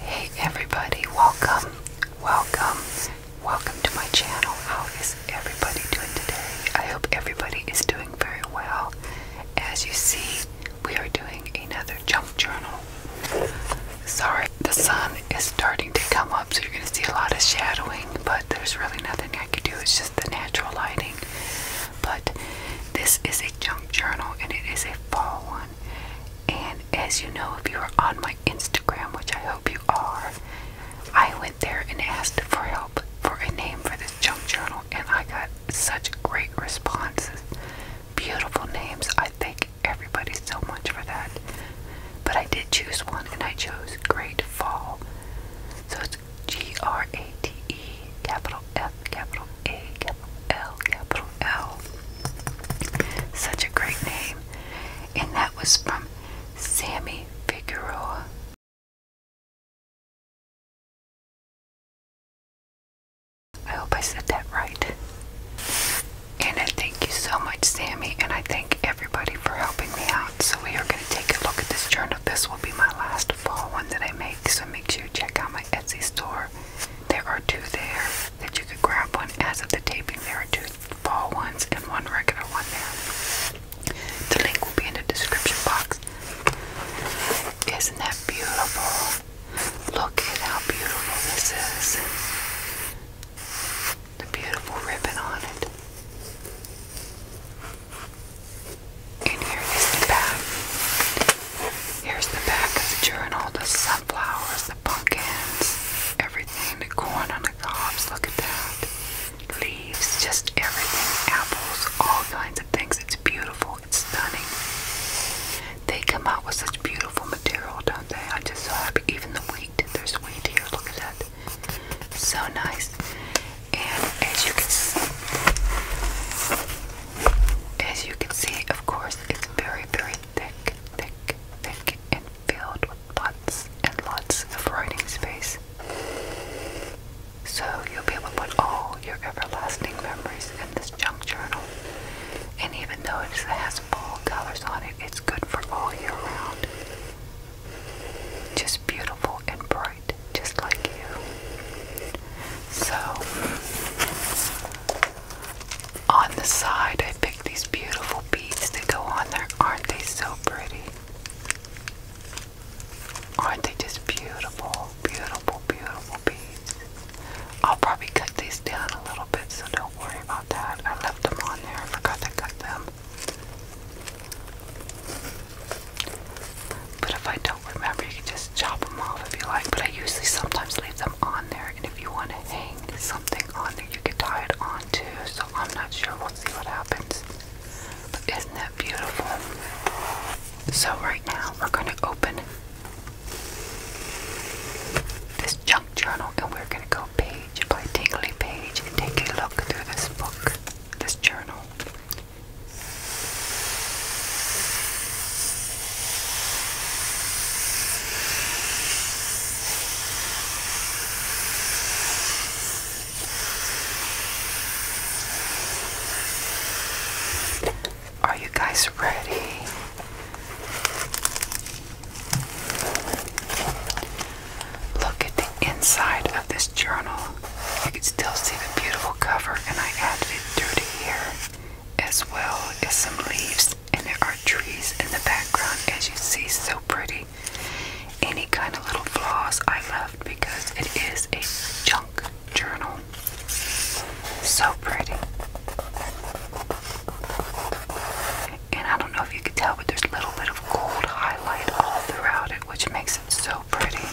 Hey everybody, welcome, welcome, welcome to my channel. How is everybody doing today? I hope everybody is doing very well. As you see, we are doing another junk journal. Sorry, the sun is starting to come up, so you're going to see a lot of shadowing, but there's really nothing I can do. It's just the natural lighting. But this is a junk journal, and it is a fall one. And as you know, if you are on my Instagram, which I hope you are, I went there and asked for help for a name for this junk journal, and I got such great responses. Beautiful names. I thank everybody so much for that. But I did choose one and I chose Great Fall. So it's G R A T E, capital F, capital A, capital L, capital L. Such a great name. And that was from Sammy Figueroa. I hope I said that right. And I thank you so much, Sammy, and I thank everybody for helping me out. So we are going to take a look at this journal. This will be my last fall one that I make. So make sure you check out my Etsy store. There are two there that you could grab one as of the taping. There are two fall ones and one regular one there. The link will be in the description box. Isn't that beautiful? Look at how beautiful this is the beautiful ribbon on it. And here is the back. Here's the back of the journal, the sunflowers, the pumpkins, everything, the corn on the cobs, look at that. Leaves, just everything, apples, all kinds of things. It's beautiful, it's stunning. They come out with such beautiful material, don't they? I'm just so happy. Even the wheat, there's wheat here, look at that. So nice. And as you can see, of course, it's very, very thick, thick, thick, and filled with lots and lots of writing space. So you'll be able to put all your everlasting memories in this junk journal. And even though it has fall colors on it, it's good for all year round just beautiful and bright, just like you. So, on the side, I picked these beautiful beads that go on there. Aren't they so pretty? Aren't they just beautiful, beautiful, beautiful beads? I'll probably cut these down a little bit, so don't worry about that. I left them on there. I forgot to cut them. But if I don't remember, you can just chop them off if you like. But I usually sometimes leave them on there. And if you want to hang something on there, you can tie it on too. So I'm not sure. We'll see what happens. But isn't that beautiful? So right now, we're going to open this junk journal and we're going to go page by tingly page take a look through this book, this journal. Are you guys ready? Look at the inside of this journal. You can still see the beautiful cover, and I added it through dirty here, as well as some leaves, and there are trees in the background, as you see, so pretty. Any kind of little flaws I left because it is a junk journal. So pretty and I don't know if you can tell, but there's a little bit of gold highlight all throughout it, which makes it so pretty.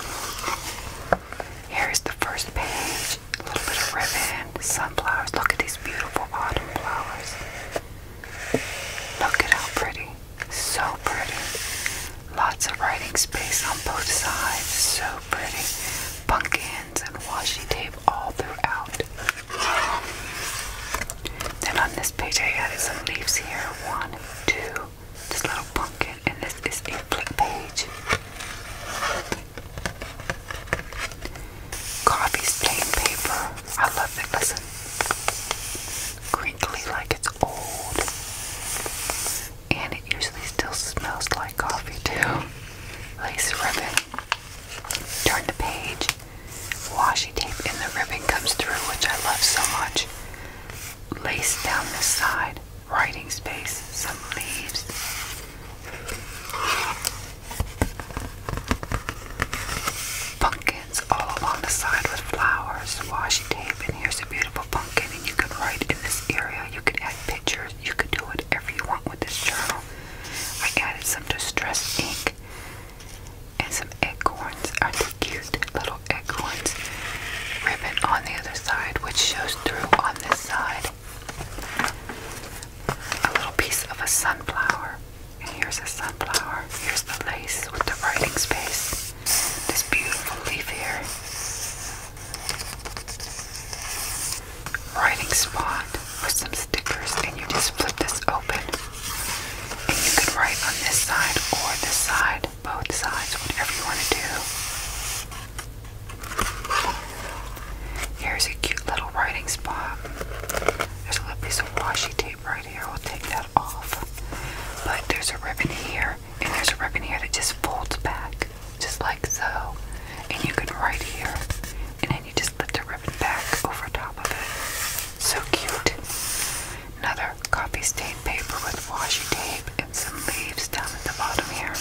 Here's the first page. A little bit of ribbon, sunflowers. Look at these beautiful autumn flowers. Look at how pretty. So pretty. Lots of writing space on both sides. So pretty. Pumpkins and washi tape all throughout. Then on this page I added some leaves here. One, two, this little pumpkin, and this is a flip page. Coffee's plain paper. I love it. Listen, crinkly like it's old, and it usually still smells like coffee too. Lace ribbon. Turn the page. Washi tape and the ribbon comes through, which I love so much. Lace down the side, writing space, some leaves. Pumpkins all along the side with flowers, washi tape, and here's a beautiful pumpkin. And you can write in this area, you can add pictures, you can do whatever you want with this journal. I added some distress ink and some acorns are the cute little acorns ribbon on the other side which shows through on this side a little piece of a sunflower and here's a sunflower here's the lace with the writing space this beautiful leaf here writing spot with some stickers and you just flip this open and you could write on this side or this side, both sides, whatever you want to do. Here's a cute little writing spot. There's a little piece of washi tape right here. We'll take that off. But there's a ribbon here, and there's a ribbon here that just folds back, just like so. And you can write here, and then you just put the ribbon back over top of it. So cute. Another copy stain paper with washi tape and some leaves down at the bottom here.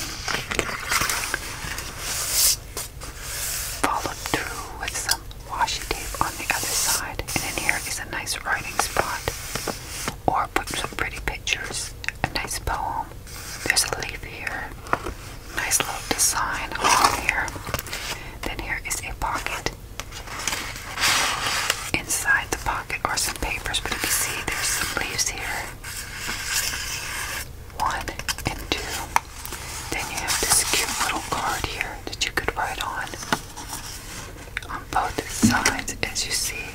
Followed through with some washi tape on the other side. And in here is a nice writing spot. Or put some pretty pictures. A nice poem. There's a leaf here. Nice little design on here. Then here is a pocket inside the pocket are some papers, but if you see, there's some leaves here. One and two. Then you have this cute little card here that you could write on. On both sides, as you see.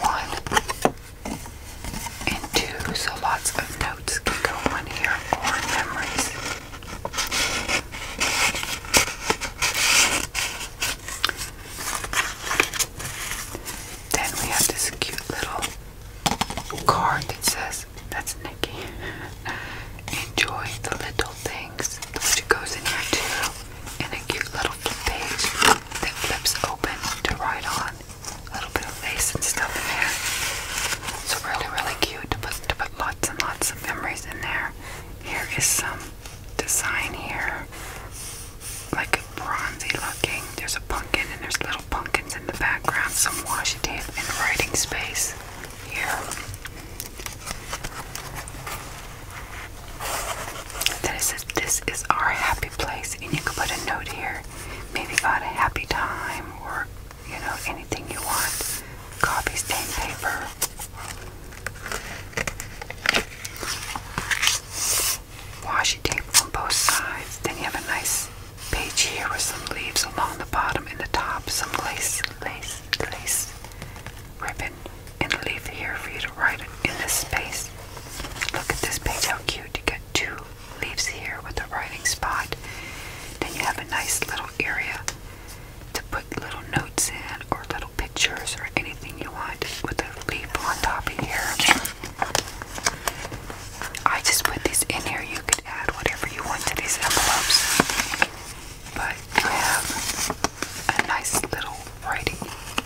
One and two, so lots of notes can go on here or memories. Then we have this cute little card that says, that's Nikki. Enjoy the little things, which goes in here too, and a cute little page that flips open to write on. A little bit of lace and stuff in there. It's really, really cute to put, lots and lots of memories in there. Here is some design here, like a bronzy looking. There's a pumpkin and there's little pumpkins in the background, some washi tape and writing space here. Then it says, This is our happy place, and you can put a note here. Maybe about a happy time or you know, anything you want. Coffee stain paper. Washi tape on both sides. Then you have a nice page here with some leaves along the bottom and the top. Some lace, lace, lace ribbon and a leaf here for you to write in this space. Look at this page, how cute. You get two leaves here with a writing spot. Then you have a nice little area to put little notes in or little pictures or anything you want with a leaf on top of here. I just put these in here. You could add whatever you want to these envelopes. But you have a nice little writing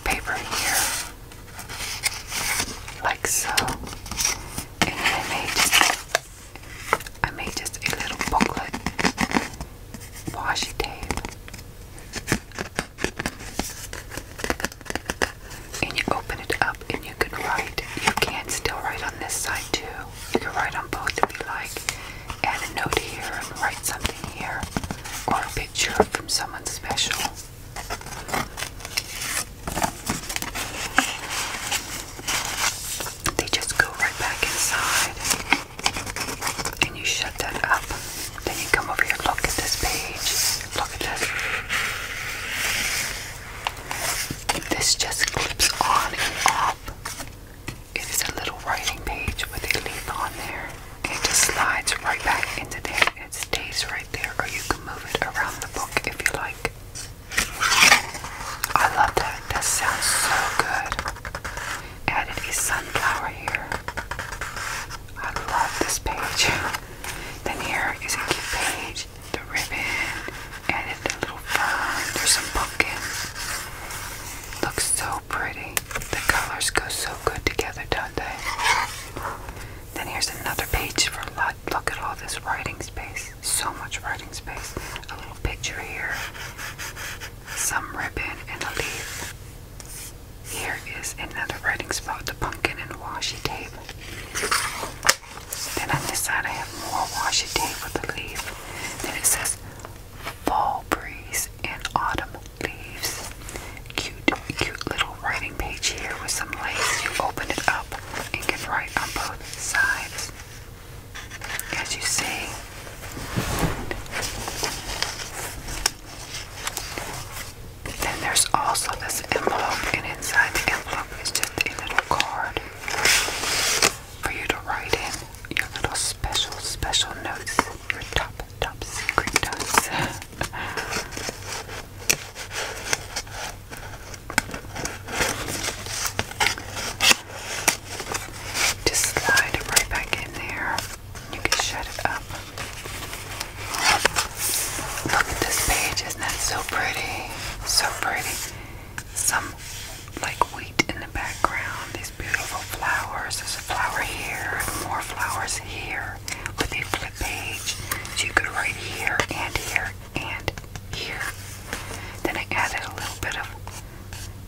paper here. Like so. And then they I made just a little booklet, washi tape, and you open it up and you can write. You can still write on this side too. You can write on both if you like. Add a note here and write something here, or a picture from someone special they just go right back inside and you shut that up. Then you come over here, look at this page, look at this. This just clips on and off. It is a little writing page with a leaf on there. It just slides right back into there. It stays right there, or you can move it around the book if you like. I love that. That sounds so good. Added a sunflower here. I love this page. Then here is a cute page. The ribbon. Added the little fern. There's some pumpkins. Looks so pretty. The colors go so good together, don't they? Then here's another page for luck. Look at all this writing space, so much writing space. A little picture here, some ribbon, and a leaf. Here is another writing spot, the pumpkin and washi tape. Then on this side, I have more washi tape with a leaf. Then it says fall breeze and autumn leaves. Cute, cute little writing page here with some lace. You open it up and can write on both sides as you see. Then there's also this envelope, and inside the envelope is just a little card for you to write in your little special, special notes, your top, top secret notes. Just slide it right back in there. You can shut it up. Look at this page, isn't that so pretty? So pretty. Some like wheat in the background, these beautiful flowers. There's a flower here, more flowers here, with a flip page. So you could write here and here and here. Then I added a little bit of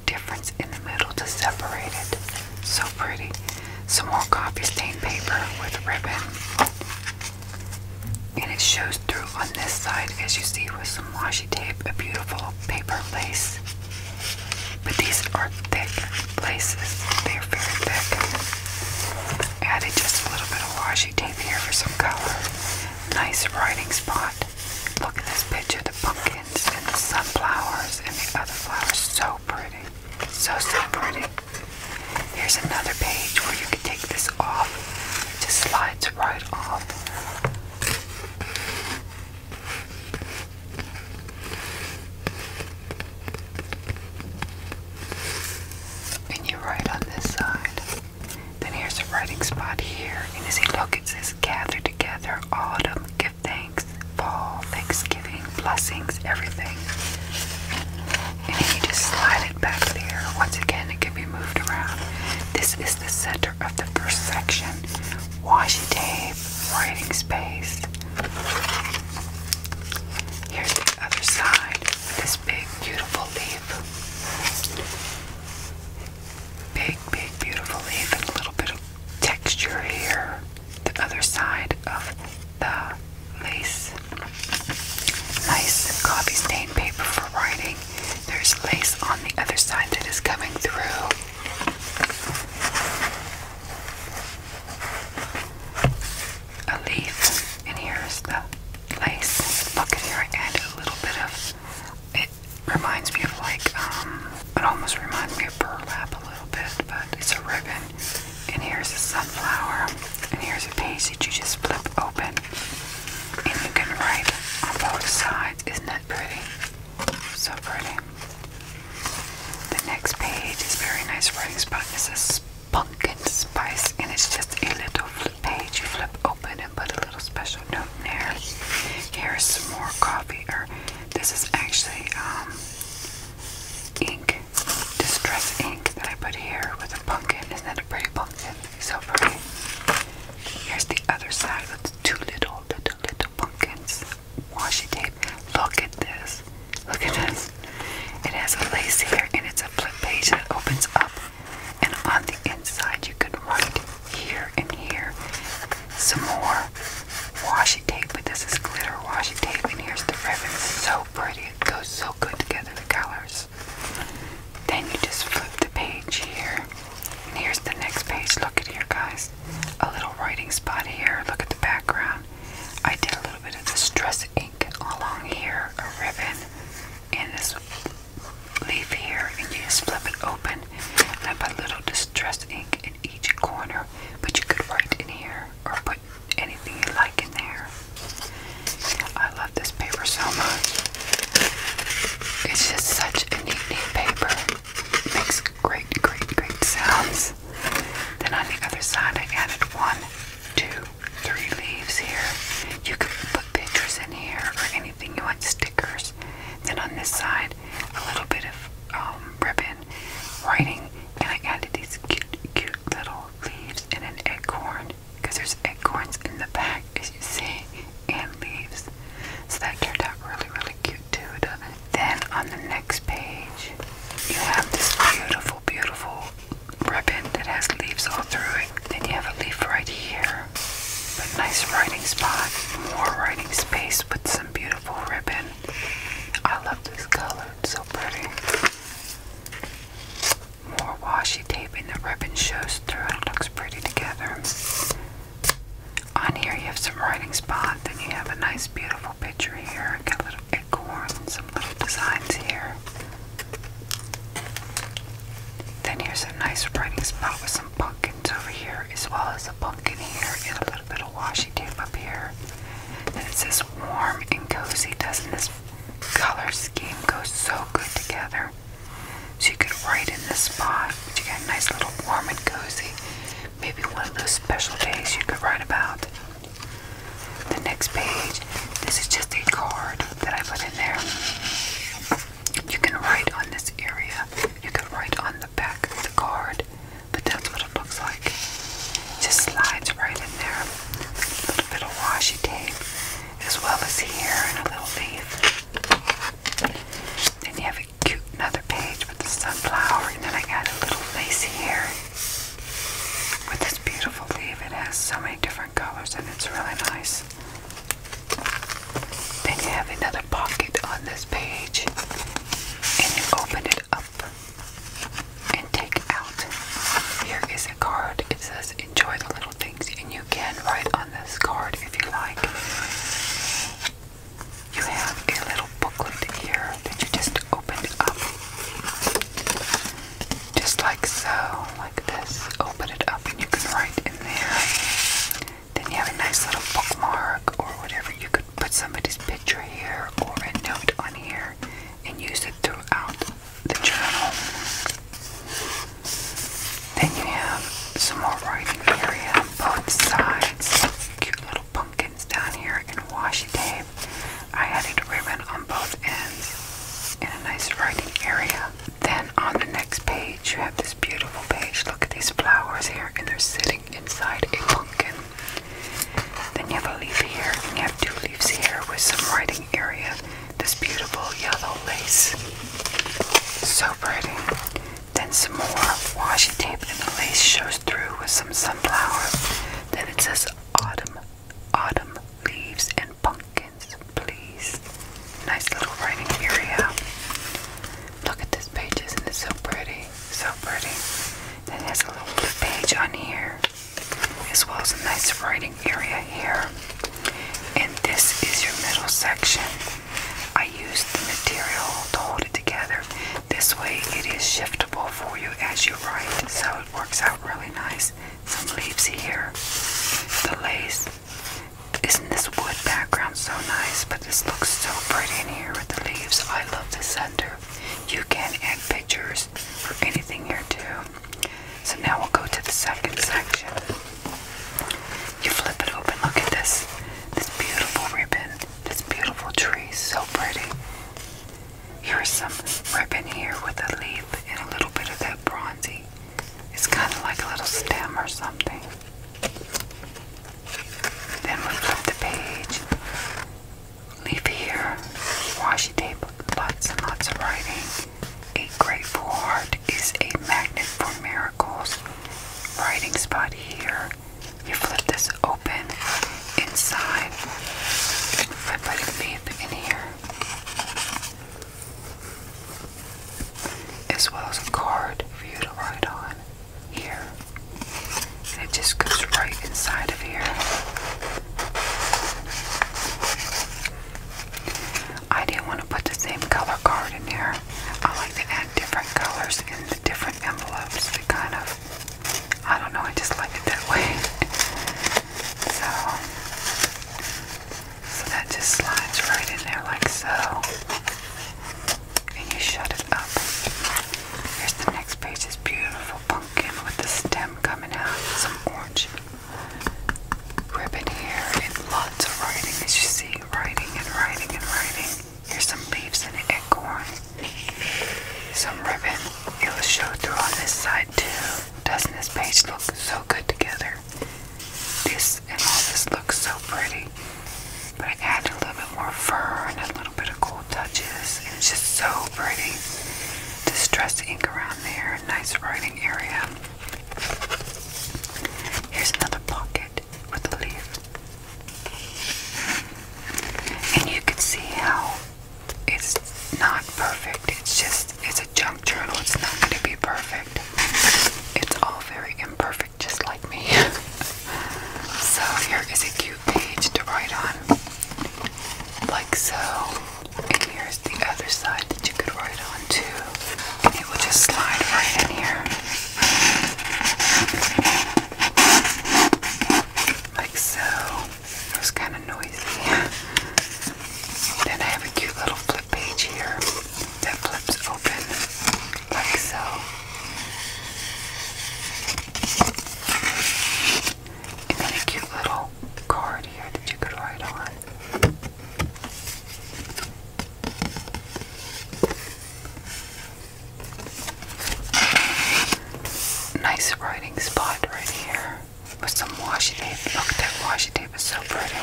difference in the middle to separate it. So pretty. Some more coffee stain paper with ribbon. And it shows through on this side, as you see, with some washi tape, a beautiful paper lace. But these are thick laces, they're very thick. Added just a little bit of washi tape here for some color. Nice writing spot. Look at this picture the pumpkins and the sunflowers and the other flowers. So pretty. So, so pretty. Here's another page where you can take this off. It just slides right off. And you write on this side. Then here's a writing spot here. And as he look, it says gather together, autumn, give thanks, fall, thanksgiving, blessings, everything. And then you just slide it back there. Once again, it can be moved around. This is the center of the first section. Washi tape, writing space. Here's the other side with this big, beautiful leaf. Big, big, beautiful leaf and a little bit of texture here. The other side of the lace. Nice coffee stain paper for writing. There's lace on the other side that is coming through. A leaf, and here's the lace. Look at here, I added a little bit of it reminds me of like, um, it almost reminds me of burlap a little bit, but it's a ribbon. And here's a sunflower, and here's a page that you just flip open, and you can write on both sides. Isn't that pretty? So pretty. The next page is very nice writing spot. It says pumpkin spice, and it's just a little page you flip open and put a little special note in there. Here's some more coffee, or this is actually um, ink, distress ink that I put here with a pumpkin. Isn't that a pretty pumpkin? So pretty. Here's the other side with two little, little, little pumpkins. Washi tape. Look at this. Look at this. It has a lace here and it's a flip page that opens up and on the inside you can write here and here some more washi tape, but this is glitter washi tape, and here's the ribbon. So pretty, it goes so good together, the colors. Then you just flip the page here, and here's the next page. Look at here, guys. A little writing spot here. Look at the background. I did a little bit of distress ink along here, a ribbon, and this leaf here and you just flip it open and I put a little distress ink in each corner but you could write in here or put anything you like in there. I love this paper so much. It's just such a neat, neat paper. It makes great, great, great sounds. Then on the other side I added one, two, three leaves here. You could put pictures in here or anything you want, stickers. Then on this side, a little bit of um, ribbon writing, and I added these cute, cute little leaves and an acorn because there's acorns in the back, as you see, and leaves. So that turned out really, really cute too, Then on the next page, you have this beautiful, beautiful ribbon that has leaves all through it. Then you have a leaf right here a nice writing spot, more writing space with some beautiful ribbon. I love this color, so pretty. More washi tape and the ribbon shows through, and looks pretty together. On here, you have some writing spot, then you have a nice, beautiful picture here. Got a little acorn and some little designs here. Then here's a nice writing spot with some pumpkins over here, as well as a pumpkin here, and a little bit of washi tape up here. And it's says warm and cozy. Doesn't this color scheme goes so good together? So you could write in this spot, but you got a nice little warm and cozy. Maybe one of those special days you could write about. The next page, this is just a card that I put in there. You can write on this area. You can write on the back of the card, but that's what it looks like. It just slides right in there. A little bit of washi tape, as well as here and a little leaf. Then you have a cute another page with the sunflower, and then I got a little lace here with this beautiful leaf. It has so many different colors, and it's really nice. Then you have another pocket on this page, and you open it up and take out. Here is a card. It says enjoy the little things, and you can write on this card if you like. You have a little booklet here that you just opened up. Just like so, like this. Open it up and you can write in there. Then you have a nice little bookmark or whatever. You could put somebody's picture here or a note on here and use it throughout the journal. Then you have some more writing area on both sides. Cute little pumpkins down here in washi tape. I added ribbon on both ends and a nice writing area. Then on the next page, you have this beautiful page. Look at these flowers here, and they're sitting inside a pumpkin. Then you have a leaf here, and you have two leaves here with some writing area. This beautiful yellow lace. So pretty. Then some more washi tape, and the lace shows through with some sunflower. Then it says autumn, autumn leaves and pumpkins, please. Nice little writing area. Look at this page, isn't it so pretty? So pretty. Then it has a little page on here, as well as a nice writing area here. And this is your middle section. I use the material to hold it together. This way it is shiftable for you as you write, so it works out really nice. Some leaves here, the lace, isn't this wood background so nice? But this looks so pretty in here with the leaves. I love the center. You can add pictures for anything here too. So now we'll go to the second section. You flip it open. Look at this. This beautiful ribbon. This beautiful tree. So pretty. Here's some ribbon here with a leaf and a little bit of that bronzy it's kind of like a little stem or something. Then we flip the page. Leave here. Washi tape. Lots and lots of writing. A grateful heart is a magnet for miracles. Writing spot here. You flip this open inside. Flip it deep in here as well as a card for you to write on here. And it just goes right inside of here. I didn't want to put the same color card in here. I like to add different colors in the different envelopes. It kind of, I don't know, I just like it that way. So, so that just slides right in there like so and you shut it up. Here's the next page, this beautiful pumpkin with the stem coming out, some orange ribbon here, and lots of writing as you see, writing and writing and writing. Here's some leaves and acorn, some ribbon. It'll show through on this side too. Doesn't this page look so good together? This and all this looks so pretty, but I added a little bit more fur and a little bit of cool touches, and it's just so pretty. Distress ink around there, nice writing area. Here's another pocket with a leaf, and you can see how it's not perfect. It's just it's a junk journal. It's not going to be perfect. It's all very imperfect just like me. so here is a cute page to write on. Like so. And here's the other side that you could write on too. And it will just slide right in here. Like so. It was kind of noisy. Then I have a cute little flip page here that flips open like so. And then a cute little card here that you could write on. Nice writing spot right here with some washi tape. Look, that washi tape is so pretty.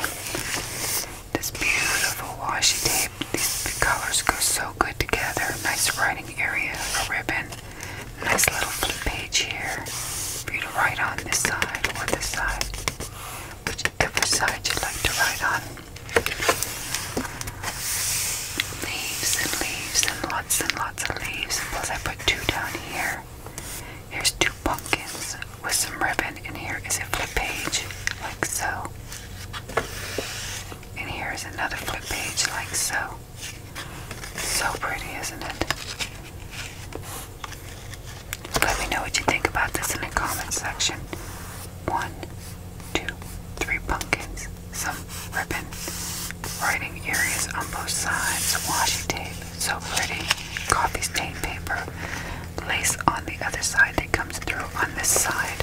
This beautiful washi tape. These colors go so good together. Nice writing area, a ribbon. Nice little flip page here for you to write on this side or this side. Whichever side you like to write on. Leaves and leaves and lots and lots of leaves. Plus I put two down here. Here's two pumpkins with some ribbon then in here is a flip page, like so. And here is another flip page, like so. So pretty, isn't it? Let me know what you think about this in the comment section. One, two, three pumpkins, some ribbon, writing areas on both sides, washi tape, so pretty, coffee stain paper, lace on the other side that comes through on this side.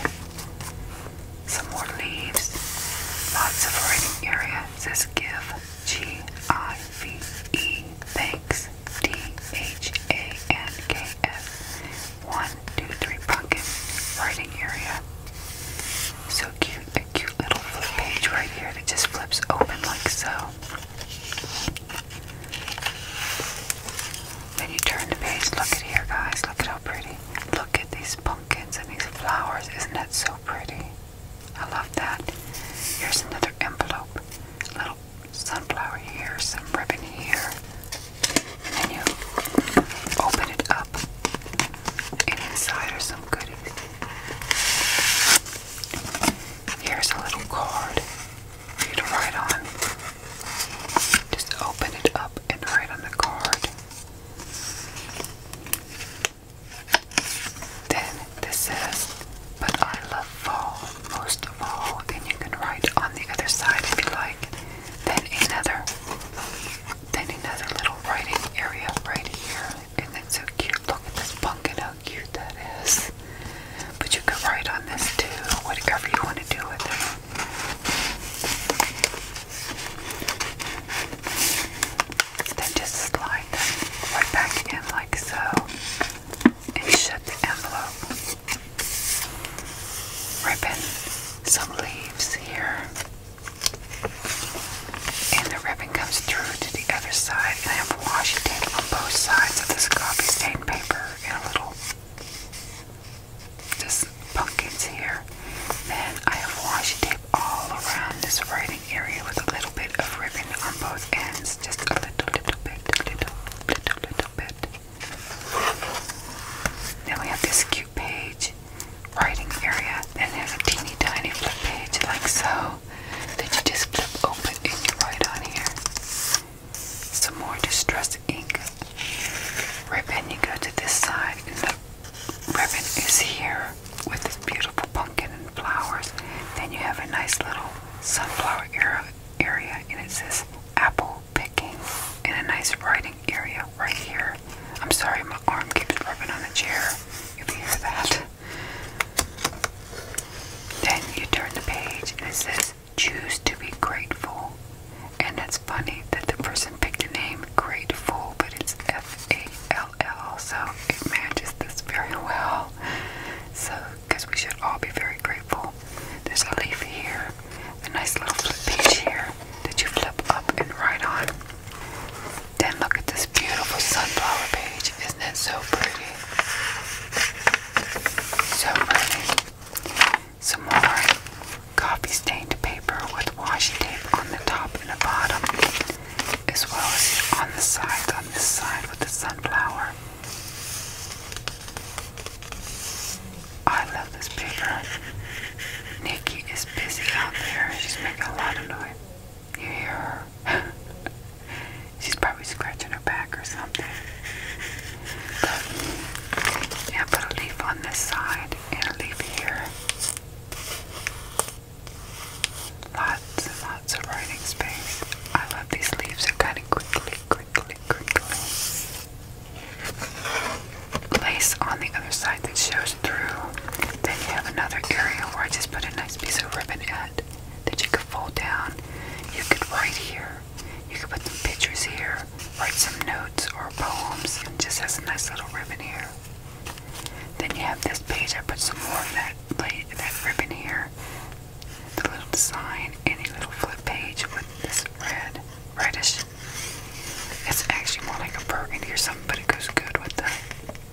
Some more leaves. Lots of writing area. It says give. G I V E. Thanks. T H A N K S. One, two, three. Pumpkin. Writing area. So cute. A cute little flip page right here that just flips open like so. Then you turn the page. Look at here, guys. Look at how pretty. Look at these pumpkins and these flowers. Isn't that so pretty? I love that. Here's another envelope. A little sunflower here, some ribbon here. And you open it up. And inside are some goodies. Here's a little card you to write on. Just open it up and write on the card. Then this says, But I love fall most of all. Then you can write on the other side if you like. Then another, then another little writing area right here. And that's so cute. Look at this pumpkin, how cute that is. But you could write on this too, whatever you want to do with it. Then just slide them right back in like so and shut the envelope. Rip some leaves here. And the ribbon comes through to the other side. And I have washi tape on both sides of this copy stained paper in a little just pockets here. Then I have washi tape all around this writing area with a little bit of ribbon on both ends. Just a little, little bit, little, little, little bit. Then we have this cute page writing area. Then there's a teeny tiny flip page like so that you just flip open and you write on here some more distress ink ribbon. You go to this side, and the ribbon is here with this beautiful pumpkin and flowers. Then you have a nice little sunflower area, and it says apple picking, and a nice writing area right here. I'm sorry, my arm keeps rubbing on the chair. You can hear that. Then you turn the page and it says Choose to be grateful. And it's funny that the person picked a name Grateful, but it's F A L L, so it manages this very well. So, because we should all be very grateful. There's a leaf here, a nice little flip page here that you flip up and right on. Then look at this beautiful sunflower page. Isn't it so pretty? So pretty. Some more coffee stained paper with washi tape on the top and the bottom, as well as on the side, on the side with the sunflower. I love this paper. Nikki is busy out there. She's making a lot of noise. You hear her? She's probably scratching her back or something. But, yeah, put a leaf on this side and a leaf here. Lots and lots of writing space. I love these leaves, they're kind of crinkly, crinkly, crinkly. Lace on the other side that shows through. Then you have another area where I just put a nice piece of ribbon at that you could fold down. You could write here. You can put some pictures here, write some notes or poems, just has a nice little ribbon here. Then you have this page. I put some more of that that ribbon here, the little sign, any little flip page with this red, reddish. It's actually more like a burgundy or something, but it goes good with the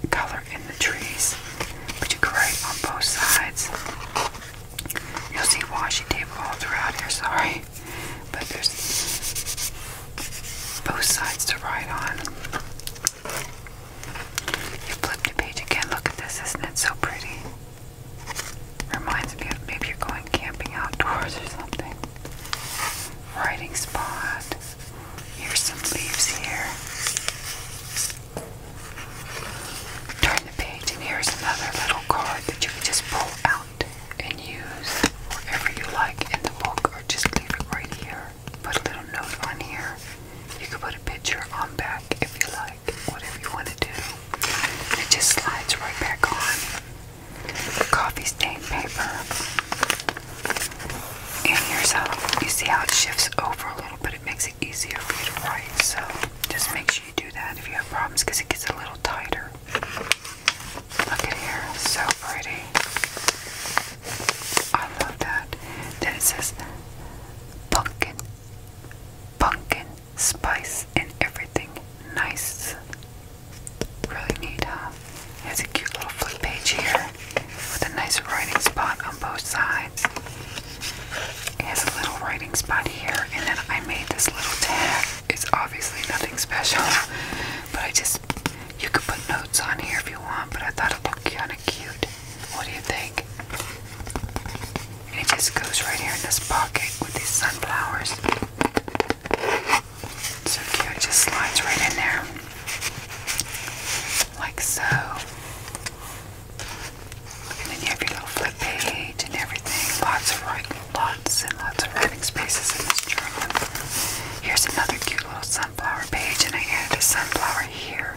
color in the trees. But you can write on both sides. You'll see washi tape all throughout here. Sorry. But there's both sides to ride on. You flip the page again. Look at this, isn't it so pretty? Reminds me of maybe you're going camping outdoors or something. Riding spot. Here's some leaves here. Turn the page, and here's another little card that you can just pull out and use whatever you like in the book or just leave it right here. Put a little note on here. You can put a picture on back if you like, whatever you want to do. it just slides right back on. Coffee stain paper. And here's how you see how it shifts over a little bit. It makes it easier for you to write. So just make sure you do that if you have problems because it gets a little tighter. Look at here, so pretty. I love that. Then it says pumpkin, pumpkin, spice, and everything nice. Really neat, huh? It has a cute little flip page here with a nice writing spot on both sides. It has a little writing spot here, and I made this little tag it's obviously nothing special, but I just, you could put notes on here if you want, but I thought it looked kind of cute. What do you think? And it just goes right here in this pocket with these sunflowers. So cute, it just slides right in there. Like so. And then you have your little flip page and everything. Lots of right Lots and lots of writing spaces in this journal. Here's another cute little sunflower page, and I added a sunflower here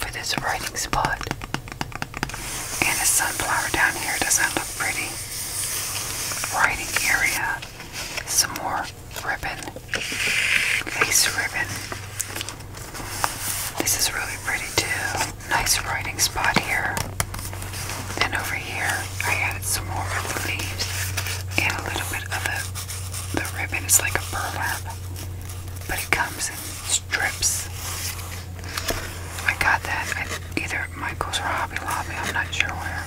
for this writing spot. And a sunflower down here. Doesn't look pretty? Writing area. Some more ribbon, lace ribbon. This is really pretty too nice writing spot here. and over here, I added some more leaves and a little bit of the, the ribbon. It's like a burlap, but it comes in strips. I got that at either Michael's or Hobby Lobby, I'm not sure where.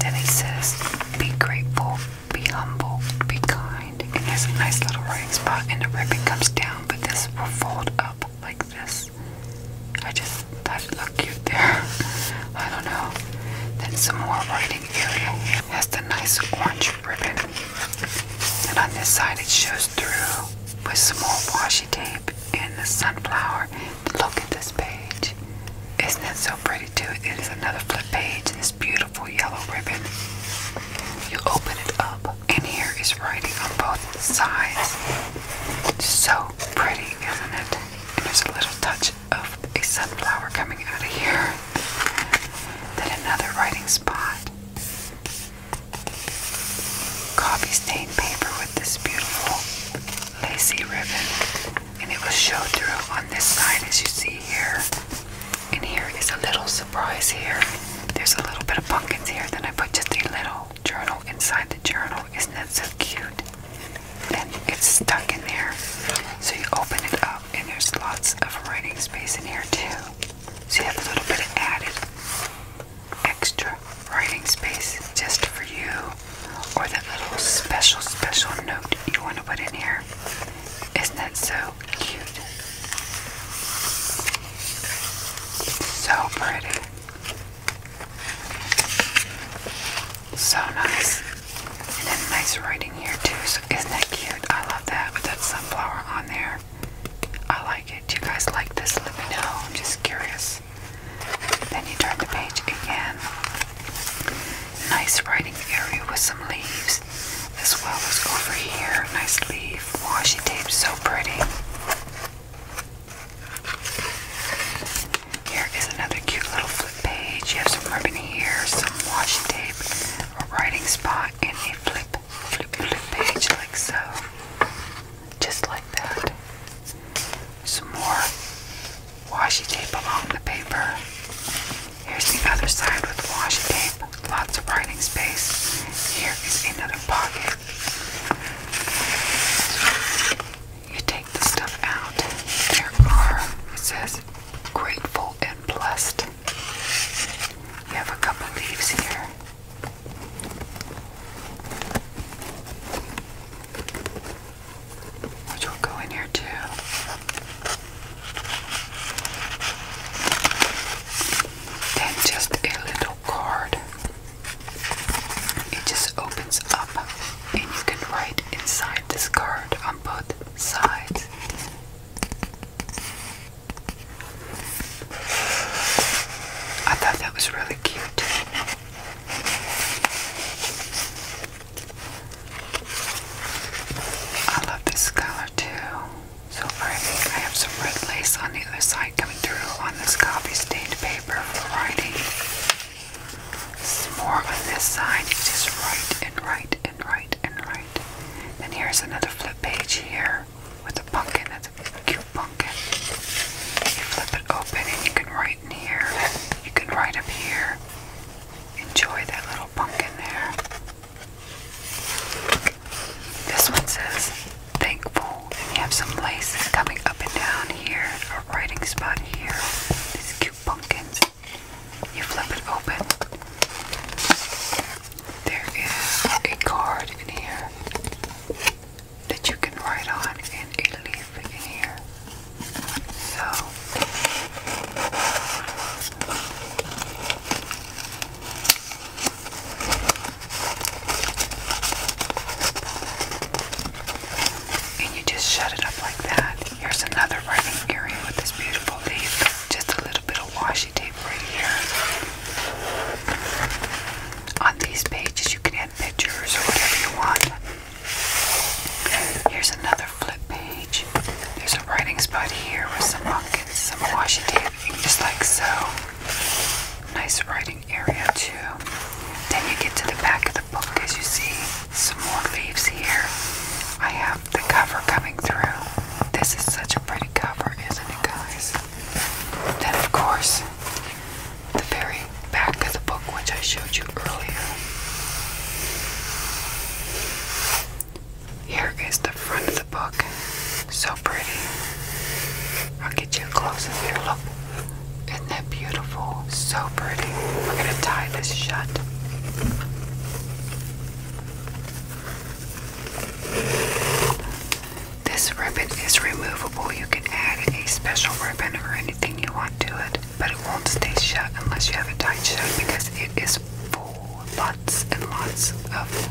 Then he says, Be grateful, be humble, be kind. And there's a nice little writing spot, and the ribbon comes down, but this will fold up like this. I just thought it looked cute there. I don't know. Then some more writing area has the nice orange ribbon. And on this side it shows through with some more washi tape and the sunflower. Look at this page. Isn't that so pretty too? It is another flip page, this beautiful yellow ribbon. You open it up and here is writing on both sides. So pretty, isn't it? And there's a little touch of a sunflower coming out of here. Then another writing spot. Coffee stained paper with this beautiful lacy ribbon. And it will show through on this side as you see here. And here is a little surprise here. There's a little bit of pumpkins here. Then I put just a little journal inside the journal. Isn't that so cute? And it's stuck in there. So you open it up, and there's lots of writing space in here, too. So you have a little bit of added extra writing space just for you, or that little special, special note you want to put in here. Isn't that so cute? So pretty. So nice. And nice writing here too. So isn't that cute? I love that with that sunflower on there. I like it. Do you guys like this? Let me know. I'm just curious. Then you turn the page again. Nice writing area with some leaves. As well as over here. Nice leaf. Washi tape. So pretty. Here is another cute little flip page. You have some ribbon here, some washi tape, a writing spot, and a flip, flip, flip page like so. Just like that. Some more washi tape along the paper. Here's the other side with washi tape, lots of writing space. Here is another pocket. You take the stuff out. There are, it says, grateful and blessed. You have a couple leaves here. Which will go in here too. Then just a little card. It just opens up, and you can write inside this card on both sides. I thought that was really cute. I love this color too. So pretty. I have some red lace on the other side coming through on this coffee stained paper for writing. Some more on this side. You just write and write and write and write. Then here's another flip page here with a pumpkin. That's a cute pumpkin. You flip it open and you can write in here. You can write up here. Enjoy that little pumpkin there. This one says thankful. And you have some laces coming up and down here, a writing spot here, these cute pumpkins. You flip it open. There is a card in here that you can write on and a leaf in here. So and you just shut it up like that. Here's another running area with this beautiful leaf. Just a little bit of washi tape right here. On these pages, you can add pictures or whatever you want. Here's another flip page. There's a writing spot here with some buckets, some washi tape, just like so. Nice writing area too. Then you get to the back of the book as you see some more leaves here. I have the cover coming through. This is such a pretty cover, isn't it guys? Then of course the very back of the book which I showed you earlier. Here is the front of the book. So pretty. I'll get you a close up here. Look. Isn't that beautiful? So pretty. We're going to tie this shut. This ribbon is removable. You can add a special ribbon or anything you want to it, but it won't stay shut unless you have it tied shut because it is full, lots and lots of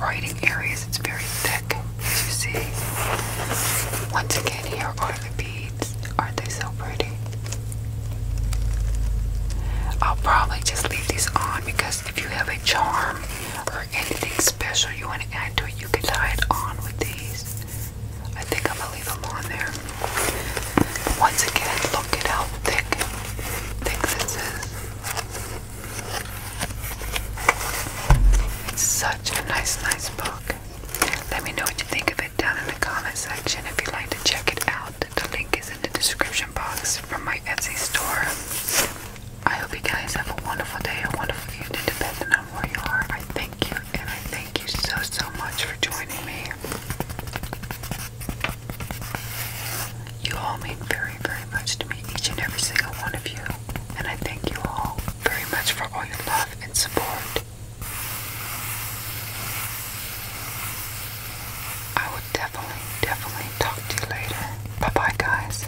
writing areas. It's very thick, as you see. Once again, here are beads. Aren't they so pretty? I'll probably just leave these on because if you have a charm or anything special you want to add to it, you can tie it on with these. I think I'm gonna leave them on there. Once again, look at how thick, thick is. It's so such a nice, nice book. Let me know what you think of it down in the comment section. If you'd like to check it out, the link is in the description box from my Etsy store. I hope you guys have a wonderful day, a wonderful evening, depending on where you are. I thank you, and I thank you so, so much for joining me. You all mean very, very much to me, each and every single one of you and I thank you all very much for all your love and support. I will definitely, definitely talk to you later. Bye bye, guys.